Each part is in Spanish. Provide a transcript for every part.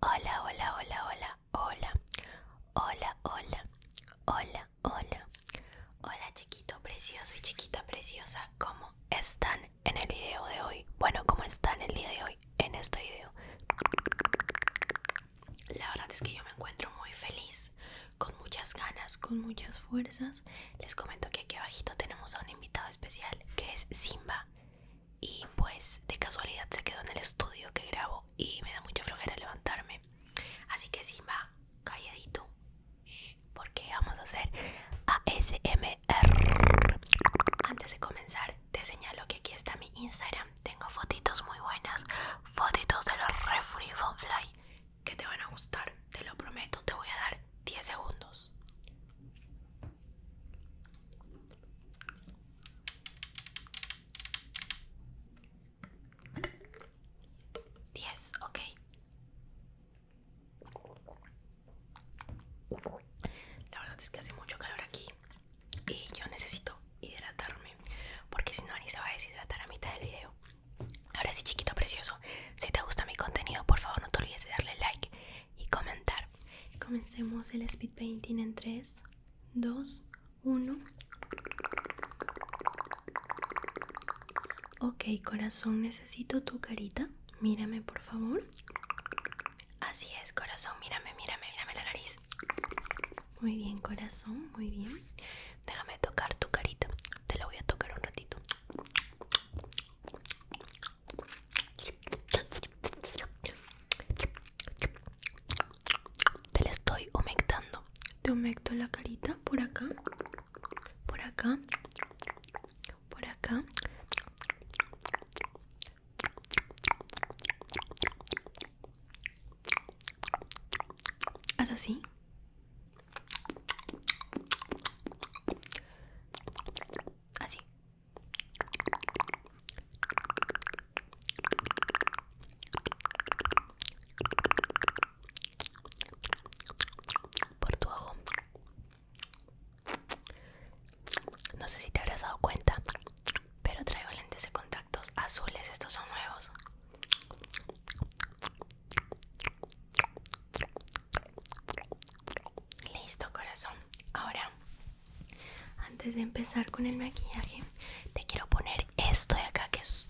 Hola, hola, hola, hola, hola, hola, hola, hola, hola, hola chiquito precioso y chiquita preciosa, ¿cómo están en el video de hoy? Bueno, ¿cómo están el día de hoy en este video? La verdad es que yo me encuentro muy feliz, con muchas ganas, con muchas fuerzas. Les comento que aquí abajito tenemos a un invitado especial que es Simba. Y pues de casualidad se quedó en el estudio que grabo y me da mucha flojera levantarme. Así que Simba, calladito. porque vamos a hacer ASMR. Antes de comenzar, te señalo que aquí está mi Instagram tengo fotitos muy buenas, fotitos de los refri Fly que te van a gustar, te lo prometo, te voy a dar 10 segundos. 10, ok. La verdad es que hace mucho calor aquí y yo necesito hidratarme porque si no ni se va a deshidratar a mitad del video ahora sí chiquito precioso si te gusta mi contenido por favor no te olvides de darle like y comentar comencemos el speed painting en 3 2 1 ok corazón necesito tu carita mírame por favor así es corazón mírame mírame mírame la nariz muy bien corazón muy bien Déjame tocar tu carita. Te la voy a tocar un ratito. Te la estoy humectando. Te humecto la carita por acá. Por acá. Por acá así. Así. Por tu ojo. No sé si te habrás dado cuenta, pero traigo lentes de contacto azules, estos son nuevos. Listo, corazón. Ahora, antes de empezar con el maquillaje, te quiero poner esto de acá que es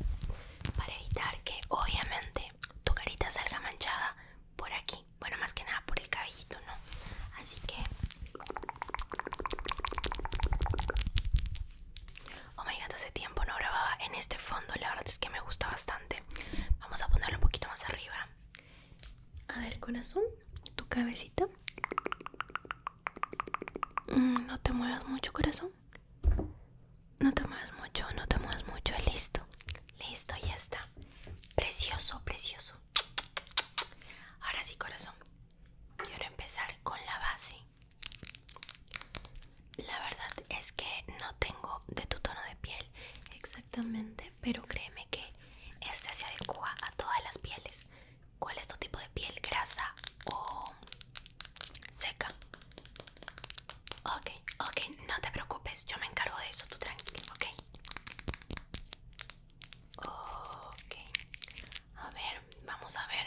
para evitar que obviamente tu carita salga manchada por aquí. Bueno, más que nada por el cabellito, ¿no? Así que Oh my god, hace tiempo no grababa en este fondo. La verdad es que me gusta bastante. Vamos a ponerlo un poquito más arriba. A ver, corazón, tu cabecita. Mm, no te muevas mucho, corazón. No te muevas mucho, no te muevas mucho. Listo, listo, ya está. Precioso, precioso. Ahora sí, corazón. Quiero empezar con la base. La verdad es que no tengo de tu tono de piel exactamente, pero créeme que este se adecua a todas las pieles. ¿Cuál es tu tipo de piel? ¿Grasa o seca? Ok, ok, no te preocupes, yo me encargo de eso, tú tranquilo, ok. Ok, a ver, vamos a ver.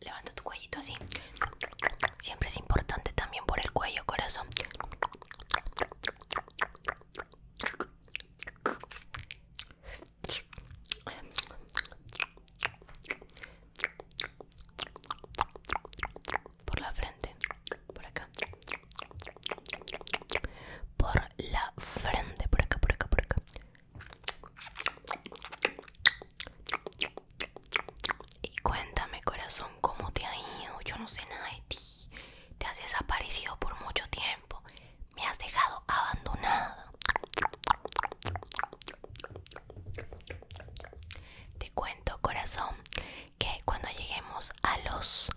Levanta tu cuellito así. Siempre es importante también por el cuello, corazón. Por la frente, por acá. Por la frente, por acá, por acá, por acá. Y cuéntame, corazón, cómo te ha ido. Yo no sé nada de ti. Te has desaparecido por mucho tiempo. Me has dejado abandonada. Te cuento, corazón, que cuando lleguemos a los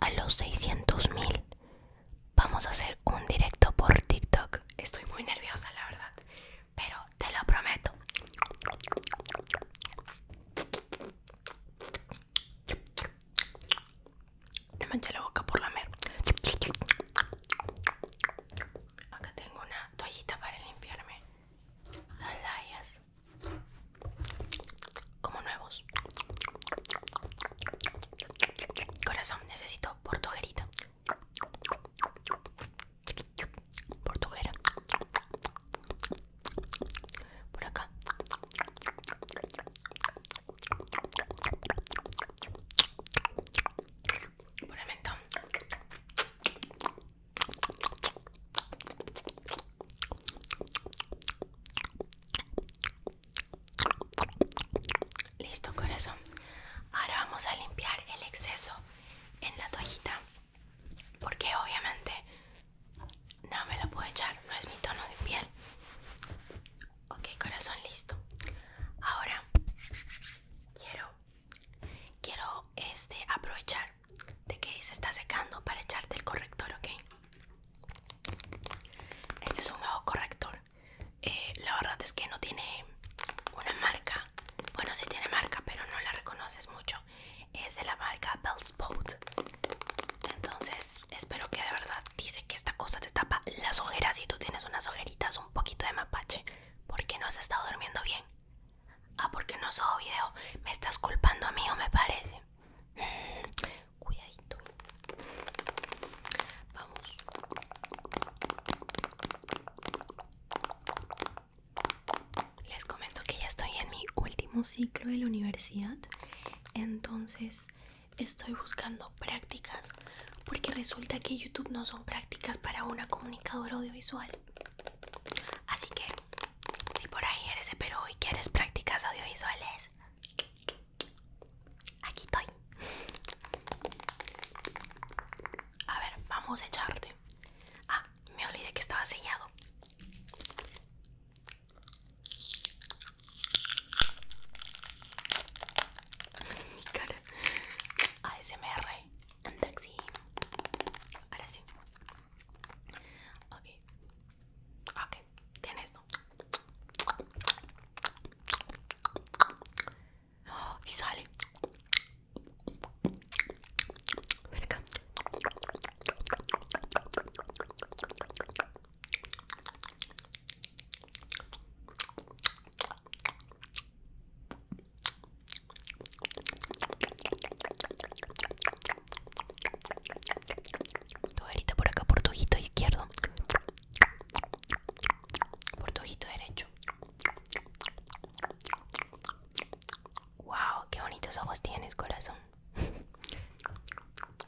a los 600 mil Vamos a hacer un directo por TikTok. Estoy muy nerviosa, la verdad. Pero te lo prometo. Me manché la boca por la mer. Acá tengo una toallita para limpiarme las layas. Como nuevos. Corazón, necesito Portujerito, portuguera, Por acá. Por el mentón. Listo, corazón. Ahora vamos a limpiar el exceso en la toallita. Porque obviamente no me lo puedo echar, no es mi tono de piel. Ok, corazón, listo. Ahora quiero quiero este aprovechar de que se está secando para echarte el corrector, ok. Este es un nuevo corrector eh, la verdad es que no tiene una marca bueno sí tiene marca pero no la reconoces mucho es de la marca Bellspot entonces espero que de verdad dice que esta cosa te tapa las ojeras y tú tienes unas ojeritas un poquito de mapache porque no has estado durmiendo bien ah porque no subo video me estás culpando a mí o me parece mm, cuidadito Vamos. Les comento que ya estoy en mi último ciclo de la universidad, entonces estoy buscando prácticas porque resulta que YouTube no son prácticas para una comunicadora audiovisual. Así que si por ahí eres de Perú y quieres prácticas audiovisuales, Aquí estoy. A ver, vamos a echarte. Ah, me olvidé que estaba sellado. Mi cara. ASMR. En taxi. Ahora sí. Ok. Ok. Tienes, si sale. Ven acá. Tu por acá, por tu ojito izquierdo por tu ojito derecho. Wow, qué bonitos ojos tienes, corazón.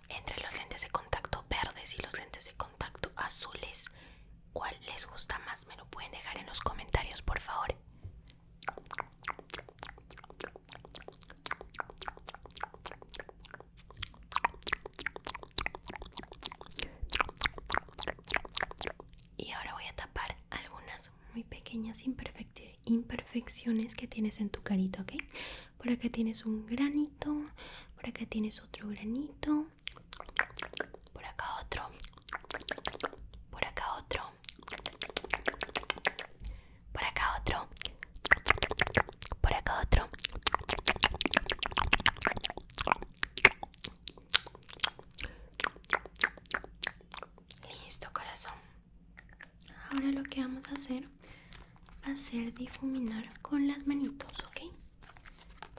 Entre los lentes de contacto verdes y los lentes de contacto azules, ¿cuál les gusta más? Me lo pueden dejar en los comentarios, por favor. Y ahora voy a tapar algunas muy pequeñas imperfecciones que tienes en tu carita, ¿ok? Por acá tienes un granito, por acá tienes otro granito, por acá otro, por acá otro, por acá otro, por acá otro. Listo, corazón. Ahora lo que vamos a hacer va a ser difuminar con las manitos, ¿ok?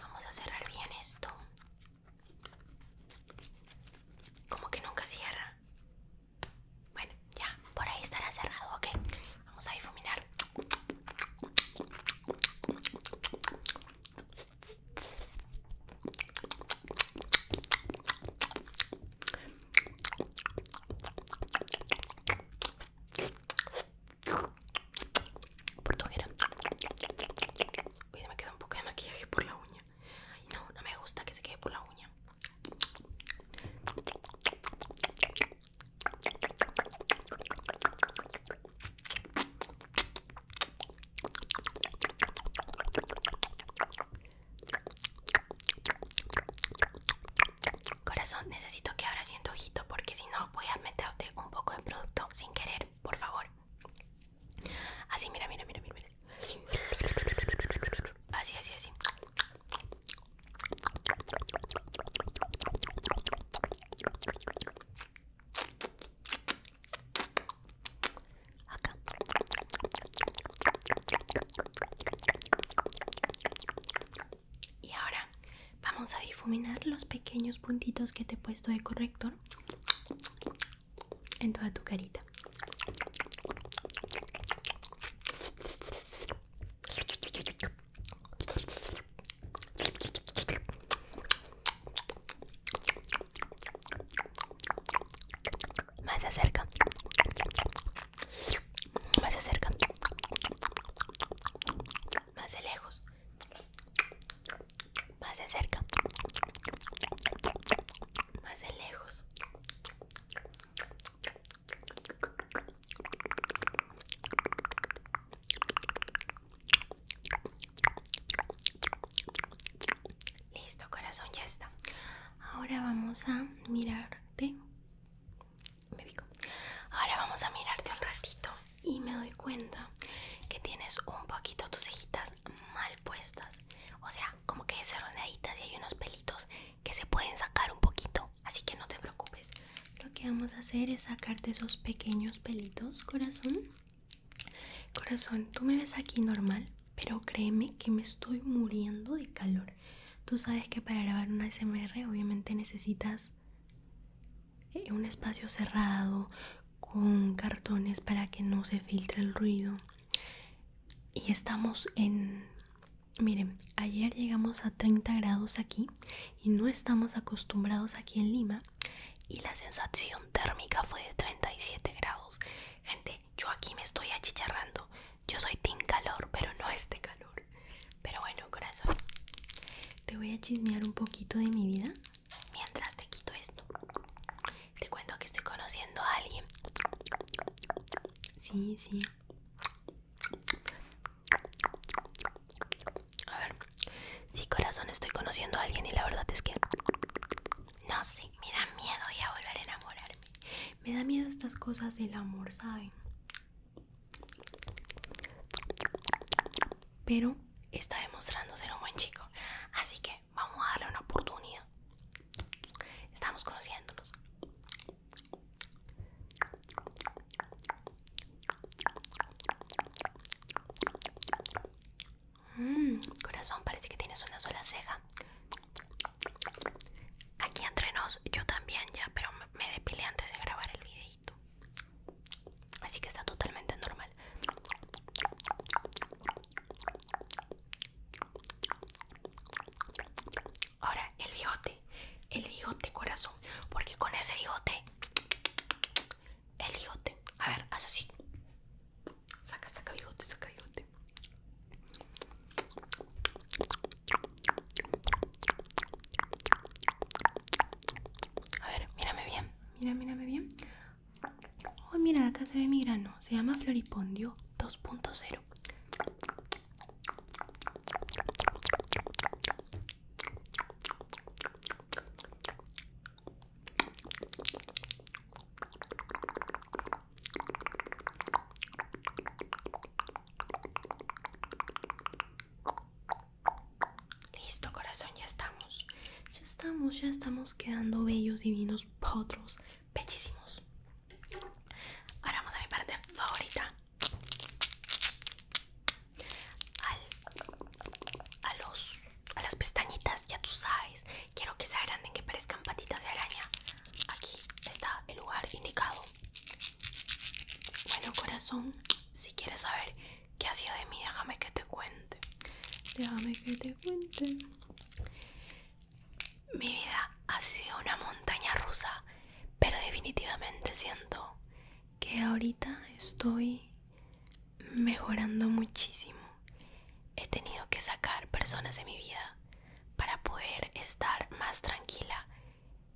Vamos a cerrar bien esto. Como que nunca cierra. Bueno, ya, por ahí estará cerrado, ¿ok? Vamos a difuminar. Portuguera. Uy, se me queda un poco de maquillaje por la uña. Ay, no, no me gusta que se quede por la uña. Corazón, necesito que abras bien tu ojito porque si no voy a meterte un poco de producto sin querer, por favor. Así, mira, mira, mira, mira. Así, así, así. Y ahora vamos a difuminar los pequeños puntitos que te he puesto de corrector en toda tu carita. Más acerca. Más de acerca. Más de lejos. Más de cerca. Más de lejos. Listo, corazón, ya está. Ahora vamos a mirarte. Ahora vamos a mirarte un ratito y me doy cuenta que tienes un poquito tus cejitas mal puestas. O sea, como que desarrolladitas y hay unos pelitos que se pueden sacar un poquito. Así que no te preocupes lo que vamos a hacer es sacarte esos pequeños pelitos, corazón. Corazón, tú me ves aquí normal, pero créeme que me estoy muriendo de calor. Tú sabes que para grabar una SMR obviamente necesitas eh, un espacio cerrado con cartones para que no se filtre el ruido. Y estamos en... Miren, ayer llegamos a 30 grados aquí y no estamos acostumbrados aquí en Lima y la sensación térmica fue de 37 grados. Gente, yo aquí me estoy achicharrando. Yo soy team calor, pero no este calor. Pero bueno, corazón, te voy a chismear un poquito de mi vida mientras te quito esto. Te cuento que estoy conociendo a alguien. Sí, sí. A ver, si corazón, estoy conociendo a alguien y la verdad es que no sé, me da miedo ya volver a enamorarme. Me da miedo estas cosas del amor, ¿saben? Pero está demostrando ser un buen chico, así que vamos a darle una oportunidad. Estamos conociéndonos. Mm, corazón, parece que tienes una sola ceja. Aquí entre nos, yo también ya, pero me depilé antes de grabar el videito. Así que está totalmente normal. Ahora, el bigote. El bigote, corazón. Porque con ese bigote el bigote. A ver, haz así. Saca, saca bigote, saca bigote. A ver, mírame bien. Mira, mírame bien. Oh, mira, acá se ve mi grano. Se llama Floripondio 2.0. Listo, corazón, ya estamos. Ya estamos, ya estamos quedando bellos, divinos, potros, bellísimos. Ahora vamos a mi parte favorita al, a, los, a las pestañitas, ya tú sabes. Quiero que se agranden, que parezcan patitas de araña. Aquí está el lugar indicado. Bueno, corazón, si quieres saber qué ha sido de mí, déjame que te cuente. Déjame que te cuente. Mi vida ha sido una montaña rusa, pero definitivamente siento que ahorita estoy mejorando muchísimo. He tenido que sacar personas de mi vida para poder estar más tranquila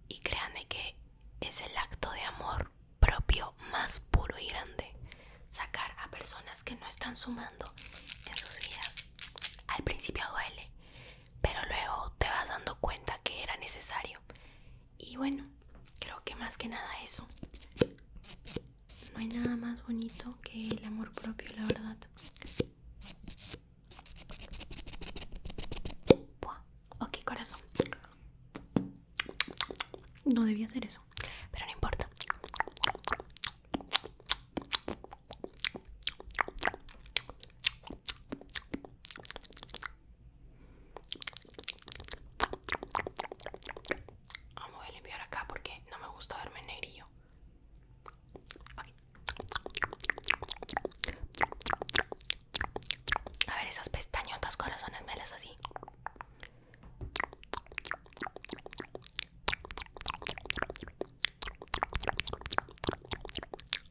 y créanme que es el acto de amor propio más puro y grande. Sacar a personas que no están sumando en sus vidas. Al principio duele, pero luego te vas dando cuenta que era necesario y bueno, creo que más que nada eso. No hay nada más bonito que el amor propio, la verdad. Ok, corazón. No debía hacer eso, pero no importa. Ah, Vamos a limpiar acá porque no me gusta verme negrillo. A ver, esas pestañotas corazones melas así.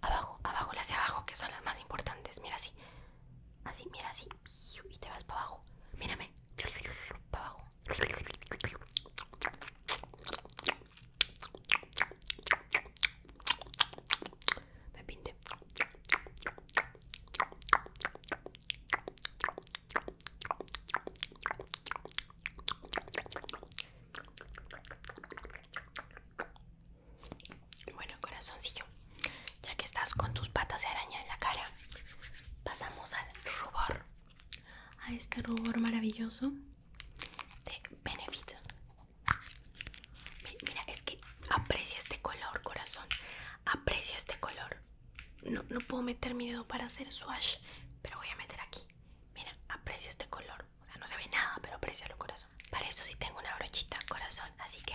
Abajo, abajo, las hacia abajo que son las más importantes. Mira así. Así, mira, así. Y te vas para abajo. Mírame. Para abajo. Me pinte. Bueno, corazoncillo, ya que estás con tus patas de araña en la cara, pasamos al rubor. A este rubor maravilloso de Benefit. Mira, es que aprecia este color, corazón. Aprecia este color. No, puedo meter mi dedo para hacer swash, pero voy a meter aquí. Mira, aprecia este color. O sea, no se ve nada, pero aprecia lo corazón. Para eso sí tengo una brochita corazón, así que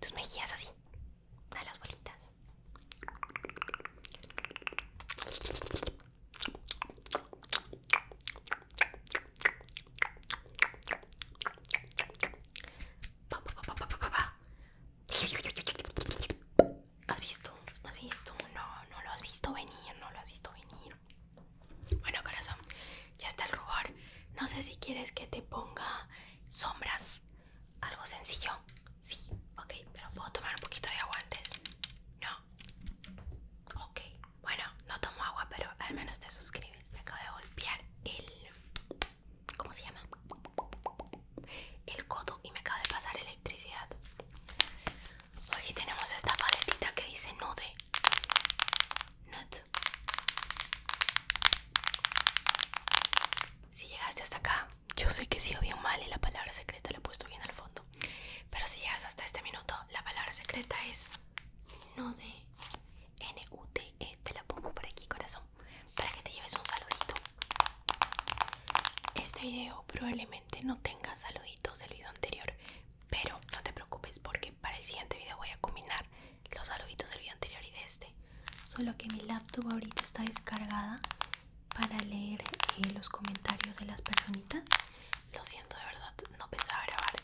tus mejillas así a las bolitas ¿Has visto? ¿Has visto? No, no lo has visto venir, no lo has visto venir. Bueno, corazón, ya está el rubor. No sé si quieres que te ponga sombras. Algo sencillo. Sí, ok, pero puedo tomar un poquito de agua antes. No. Ok, bueno, no tomo agua, pero al menos te suscribes. Me acabo de golpear el. ¿Cómo se llama? El codo y me acaba de pasar electricidad. Aquí tenemos esta paletita que dice Nude. nut Si llegaste hasta acá, yo sé que si bien mal y la palabra secreta la he puesto bien al fondo. Pero si llegas hasta este minuto, la palabra secreta es nude. N-U-T-E. Te la pongo por aquí, corazón. Para que te lleves un saludito. Este video probablemente no tenga saluditos del video anterior. Pero no te preocupes porque para el siguiente video voy a combinar los saluditos del video anterior y de este. Solo que mi laptop ahorita está descargada para leer eh, los comentarios de las personitas lo siento de verdad, no pensaba grabar,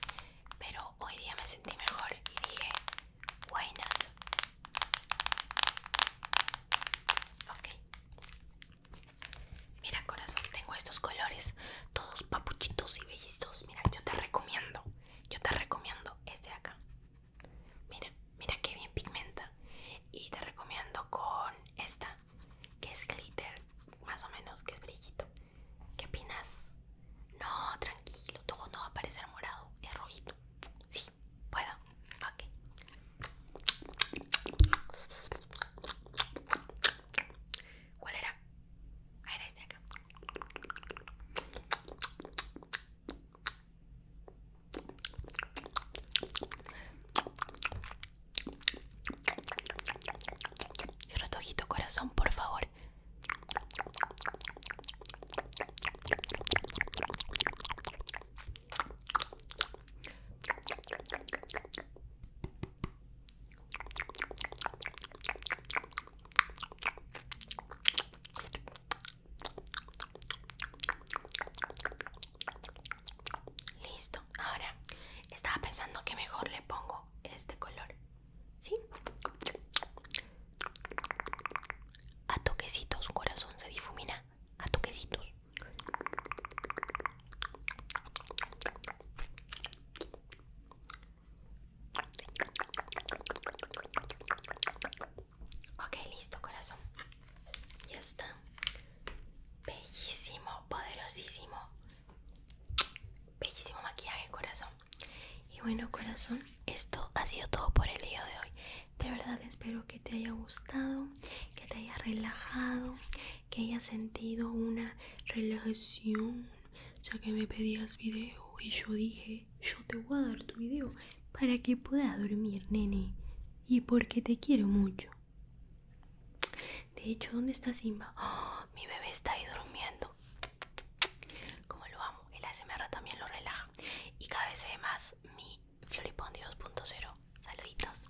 pero hoy día me sentí mejor y dije, why not? Mira corazón, tengo estos colores, todos papuchitos y bellitos. Mira, yo te recomiendo, yo te recomiendo este de acá. Mira, mira qué bien pigmenta. Y te recomiendo con esta que es glitter, más o menos, que es brillito. ¿Qué opinas? No, tranquilo, tu ojo no va a parecer morado, es rojito. Sí, puedo. ¿Cuál era? Ah, era este acá. Cierra corazón, por favor. Listo, ahora estaba pensando que mejor le pongo este color, ¿sí? A toquecitos, corazón se difumina, a toquecitos. Ok, listo corazón. Ya está. Bellísimo, poderosísimo. Bellísimo maquillaje, corazón. Y bueno, corazón, esto ha sido todo por el video de hoy. De verdad espero que te haya gustado, que te haya relajado, que hayas sentido una relajación, ya que me pedías video y yo dije, yo te voy a dar tu video para que puedas dormir, nene. Y porque te quiero mucho. De hecho, ¿dónde está Simba? ¡Ah! Mi bebé está ahí durmiendo. Como lo amo, el ASMR también lo relaja. Y cada vez se más mi Floripondi 2.0. Saluditos.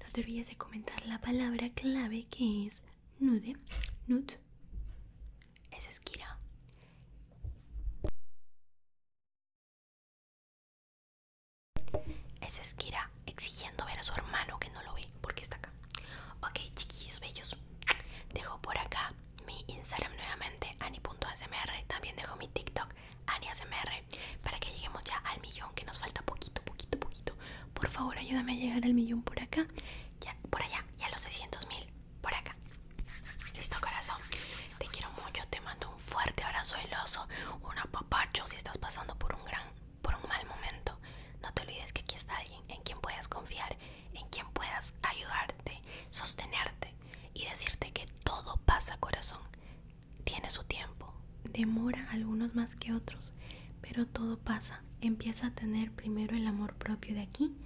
No te olvides de comentar la palabra clave que es nude, Nude. es esquira es esquira exigiendo ver a su hermano que no lo ve porque está acá. Ok, chiquillos bellos. Dejo por acá mi Instagram nuevamente, @ani.smr, También dejo mi TikTok, @ani.smr para que lleguemos ya al millón, que nos falta poquito, poquito, poquito. Por favor, ayúdame a llegar al millón por acá, ya, por allá, y a los 600 mil por acá. Listo, corazón. Te quiero mucho, te mando un fuerte abrazo del oso, un apapacho si estás pasando por un gran por un mal momento, no te olvides que aquí está alguien en quien puedas confiar, en quien puedas ayudarte, sostenerte y decirte que todo pasa, corazón. Tiene su tiempo. Demora algunos más que otros, pero todo pasa. Empieza a tener primero el amor propio de aquí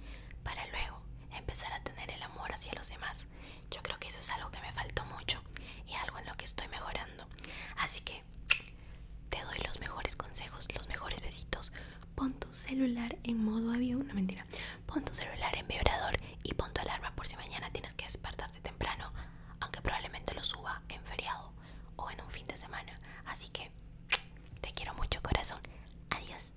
para luego empezar a tener el amor hacia los demás. Yo creo que eso es algo que me faltó mucho y algo en lo que estoy mejorando. Así que te doy los mejores consejos, los mejores besitos. Pon tu celular en modo avión, no mentira. Pon tu celular en vibrador y pon tu alarma por si mañana tienes que despertarte temprano, aunque probablemente lo suba en feriado o en un fin de semana. Así que te quiero mucho, corazón. Adiós.